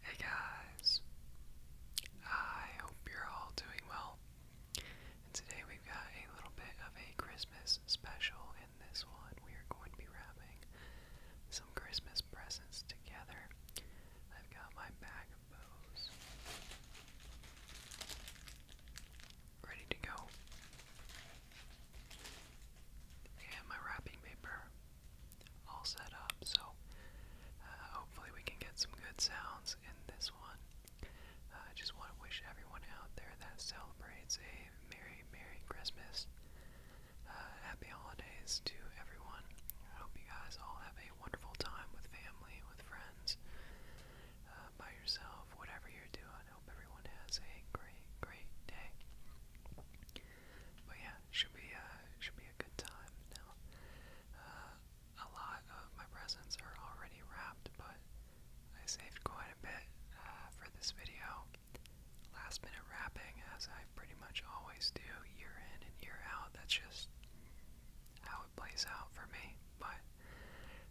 Hey guys, I hope you're all doing well. And today we've got a little bit of a Christmas special. In this one, we are going to be wrapping some Christmas presents together. I've got my bag of bows ready to go, and my wrapping paper all set up. So uh, hopefully we can get some good sounds in this one. Uh, I just want to wish everyone out there that celebrates a Merry, Merry Christmas. Uh, happy holidays to everyone. I hope you guys all have a wonderful time with family, with friends, uh, by yourself, whatever you're doing. I hope everyone has a great, great day. But yeah, should be should be good time now. Uh, a lot of my presents are already wrapped, but I saved quite a bit uh, for this video. Last minute wrapping, as I pretty much always do, year in and year out. That's just how it plays out for me. But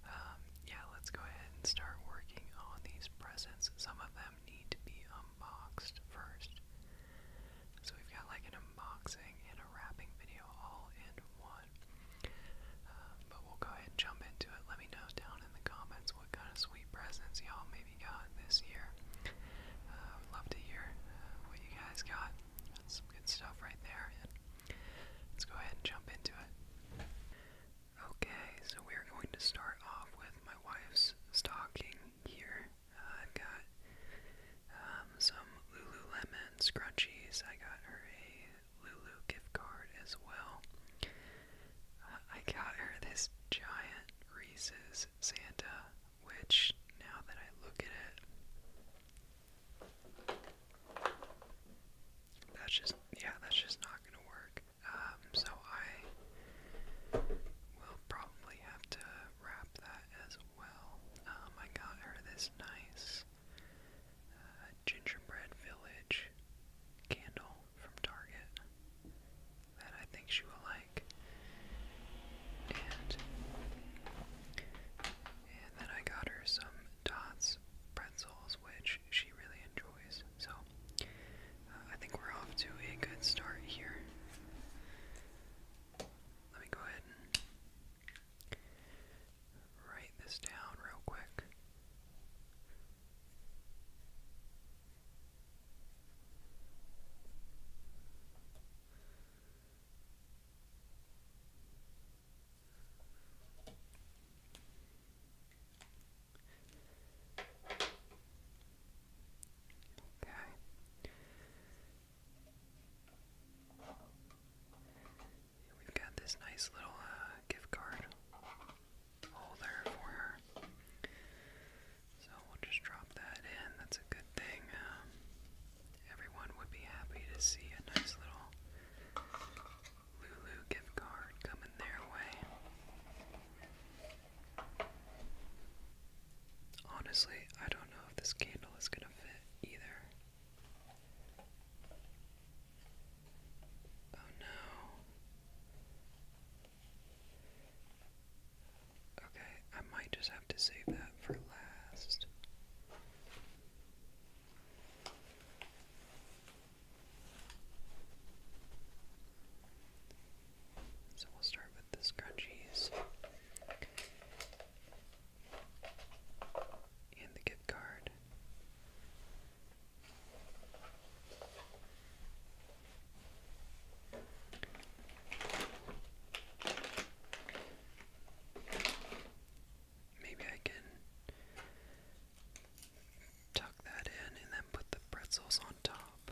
um, yeah, let's go ahead and start working on these presents. Some of them need to be unboxed first. So we've got like an unboxing and a wrapping video all in one. Um, but we'll go ahead and jump into it. Let me know down in the comments what kind of sweet presents y'all maybe got this year. Uh, would love to hear uh, what you guys got. That's some good stuff right there. let's go ahead and jump into it. Okay, so we're going to start off with my wife's stocking here. Uh, I've got um, some Lululemon scrunchies. I got her a Lulu gift card as well. Uh, I got her this giant Reese's Santa, which now that I look at it, that's just, yeah, that's just not gonna work. Um, so I will probably have to wrap that as well. Um, I got her this nice uh, gingerbread village candle from Target that I think she will like. And then I got her some dots pretzels, which she really enjoys. So uh, I think we're off to a good start here. Let me go ahead and write this down real quick. Okay. We've got this nice little uh, gift card holder for her. So we'll just drop that in. That's a good thing. Um, everyone would be happy to see a nice little Lulu gift card coming their way. Honestly, I don't know if this candle is going to fit either. Oh no. Okay, I might just have to save that for last. So we'll start with the scrunchies and the gift card. Maybe I can tuck that in and then put the pretzels on top.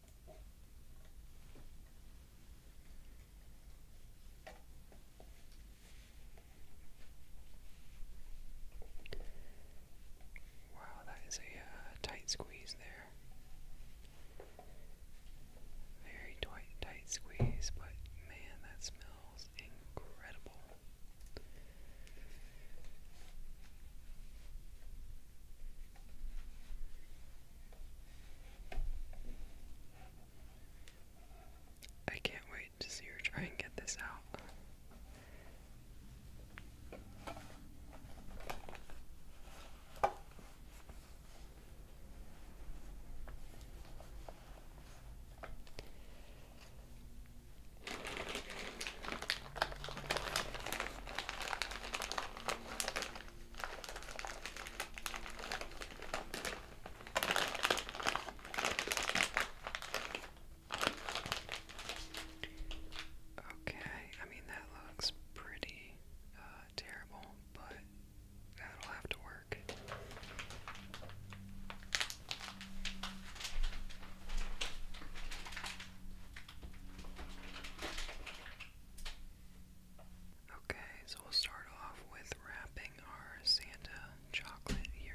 Wow, that is a uh, tight squeeze there. Very tight, tight squeeze, but man, that smells incredible. I can't wait to see her try and get this out. Okay, I mean that looks pretty uh, terrible, but that'll have to work. Okay, so we'll start off with wrapping our Santa chocolate here.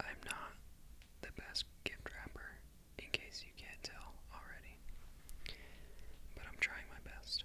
I'm not the best gift wrapper, in case you can't tell already, but I'm trying my best.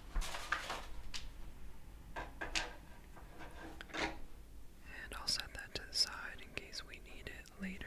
And I'll set that to the side in case we need it later.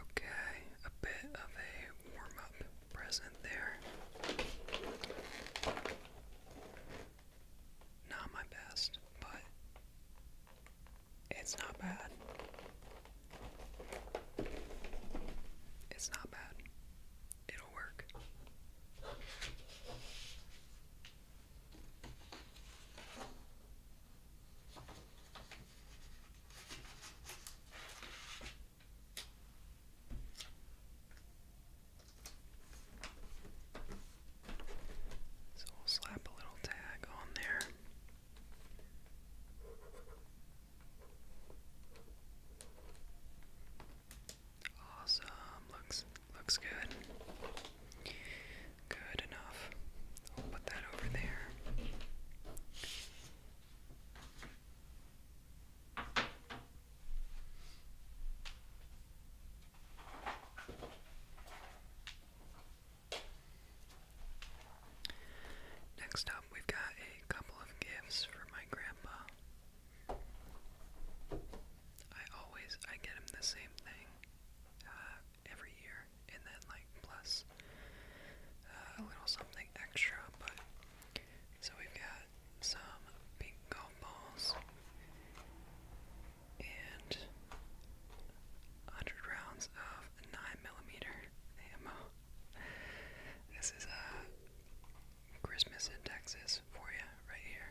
Okay, a bit of a warm up present there. Not my best, but it's not bad. It's not bad. It'll work. So we'll slap a little tag on there. Awesome, looks Looks good. Good enough. We'll put that over there. Next up, we've got a couple of gifts for my grandpa. I always I get him the same thing. Uh, every year, and then like plus uh, a little something extra. But so we've got some pink golf balls and 100 rounds of 9 millimeter ammo. This is a uh, Christmas in Texas for you, right here.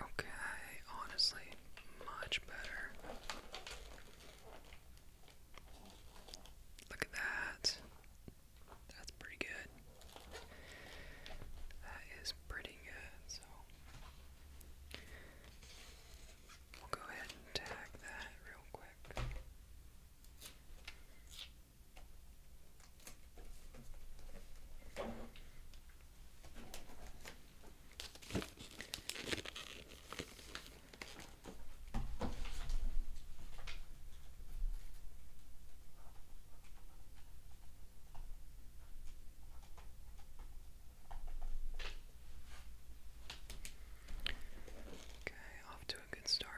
Okay, honestly, much better. Look at that. That's pretty good. That is pretty good. So we'll go ahead and tag that real quick. Okay, off to a good start.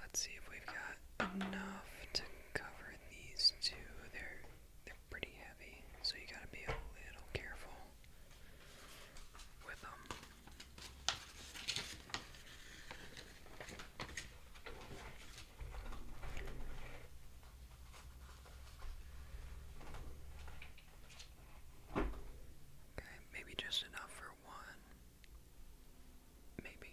Let's see if we've got enough to cover these two pretty heavy, so you gotta be a little careful with them. Okay, maybe just enough for one. Maybe.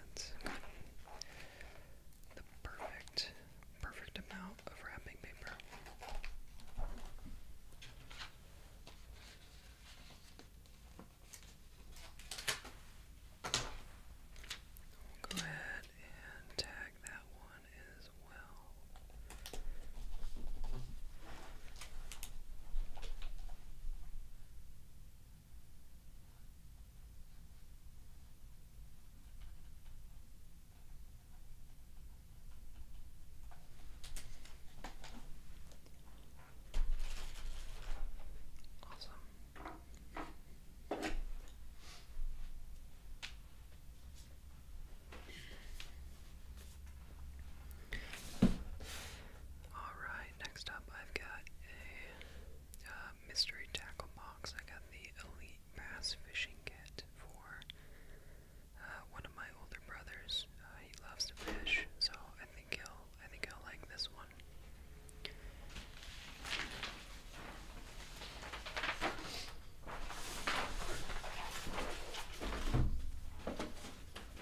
the perfect, perfect amount of wrapping paper. go ahead and tag that one as well. Awesome. All right next up I've got a uh, mystery tackle box. I got the Elite Bass Fishing Kit for uh, one of my older brothers. Uh, he loves to fish, so I think he'll I think he'll like this one.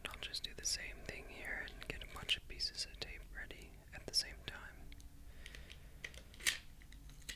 And I'll just do the same thing here and get a bunch of pieces of tape ready at the same time.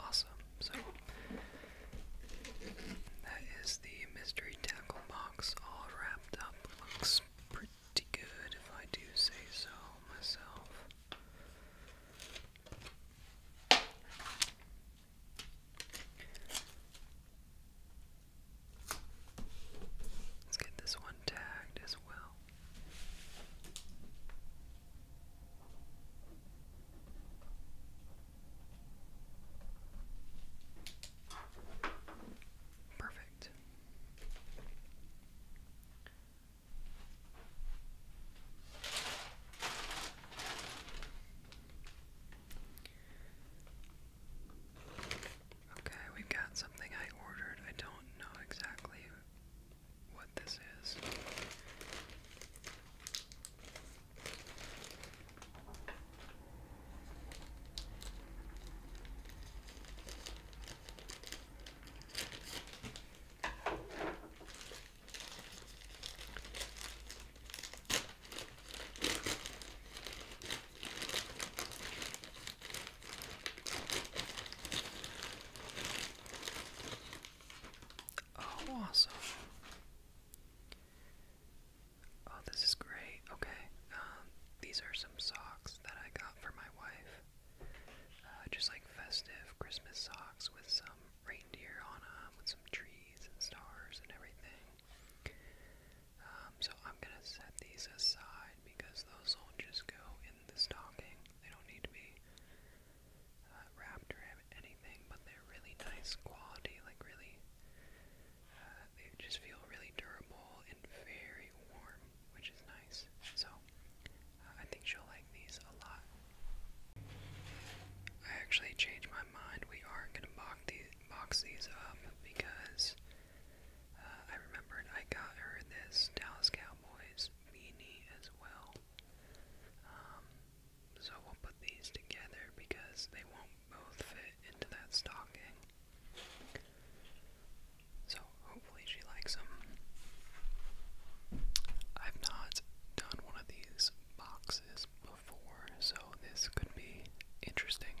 Awesome. So that is the mystery tackle box all wrapped up. Looks pretty good if I do say so myself. Let's get this one tagged as well. Perfect. Okay, we've got something I ordered. I don't know exactly what this is. Oh, awesome. Oh, this is great. Okay. Um, these are some socks that I got for my wife. Uh, just like festive Christmas socks with some reindeer on them, with some trees and stars and everything. Um, so I'm going to set these aside because those soldiers go in the stocking. They don't need to be uh, wrapped or anything, but they're really nice quality, like really, uh, they just feel really durable and very warm, which is nice. So, uh, I think she'll like these a lot. I actually changed my mind. We aren't gonna box these, box these up because I remember I got her this Dallas Cowboys beanie as well. Um, so we'll put these together because they won't both fit into that stocking. So hopefully she likes them. I've not done one of these boxes before, so this could be interesting.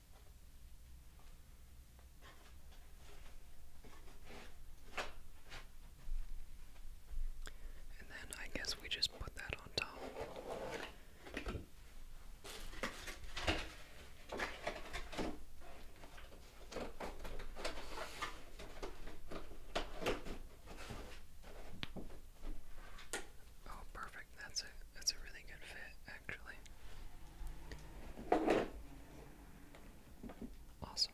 And then I guess we just put that on top. Oh, perfect. That's it. That's a really good fit actually. Awesome.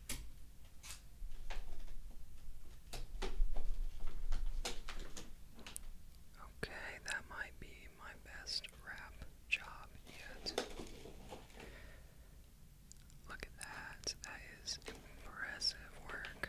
Okay, that might be my best rap job yet. Look at that. That is impressive work.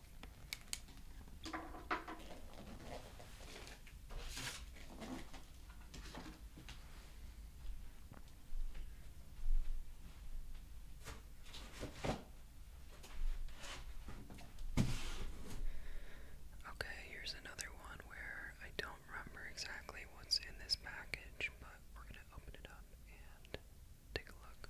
Okay, here's another one where I don't remember exactly what's in this package, but we're going to open it up and take a look.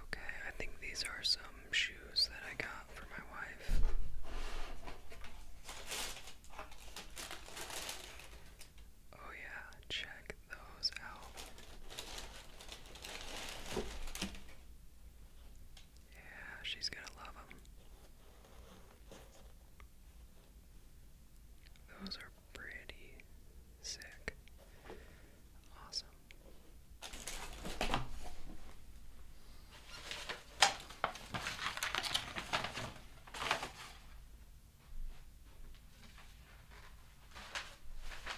Okay, I think these are some shoes that I got for my wife. Oh, yeah, check those out. Yeah, she's gonna love them. Those are pretty sick. Awesome.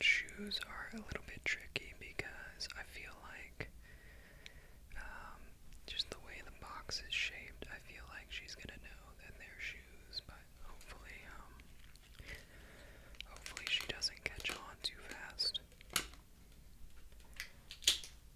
shoes are a little bit tricky because I feel like um, just the way the box is shaped, I feel like she's gonna know that they're shoes, but hopefully, um, hopefully she doesn't catch on too fast.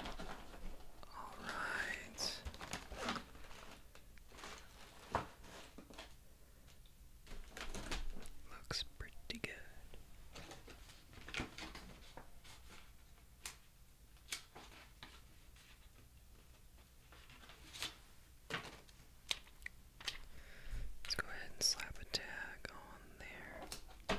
All right. Looks pretty good. Let's go ahead and slap a tag on there.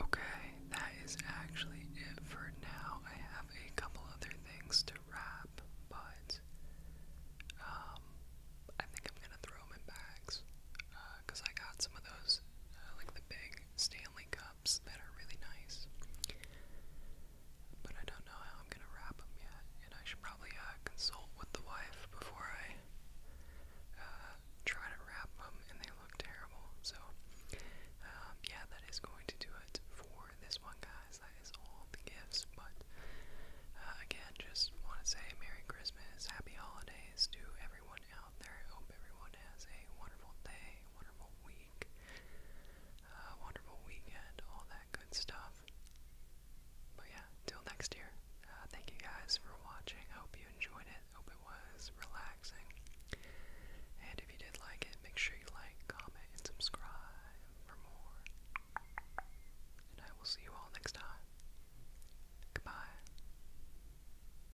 Okay, that is actually it for now. I have a couple other things to wrap, but um, I think I'm gonna throw them in bags because uh, I got some of those, uh, like the big Stanley Cup that are really nice. But I don't know how I'm gonna wrap them yet, and I should probably uh, consult with the wife before I uh, try to wrap them, and they look terrible. So, um, yeah, that is going to do it for this one, guys. That is all the gifts, but uh, again, just want to say Merry Christmas, Happy Holidays to everyone else there. I hope everyone has a wonderful day, wonderful week, uh, wonderful weekend, all that good stuff. But yeah, till next year. Uh, thank you guys for watching. I hope you enjoyed it. Hope it was relaxing. And if you did like it, make sure you like, comment, and subscribe for more. And I will see you all next time. Goodbye.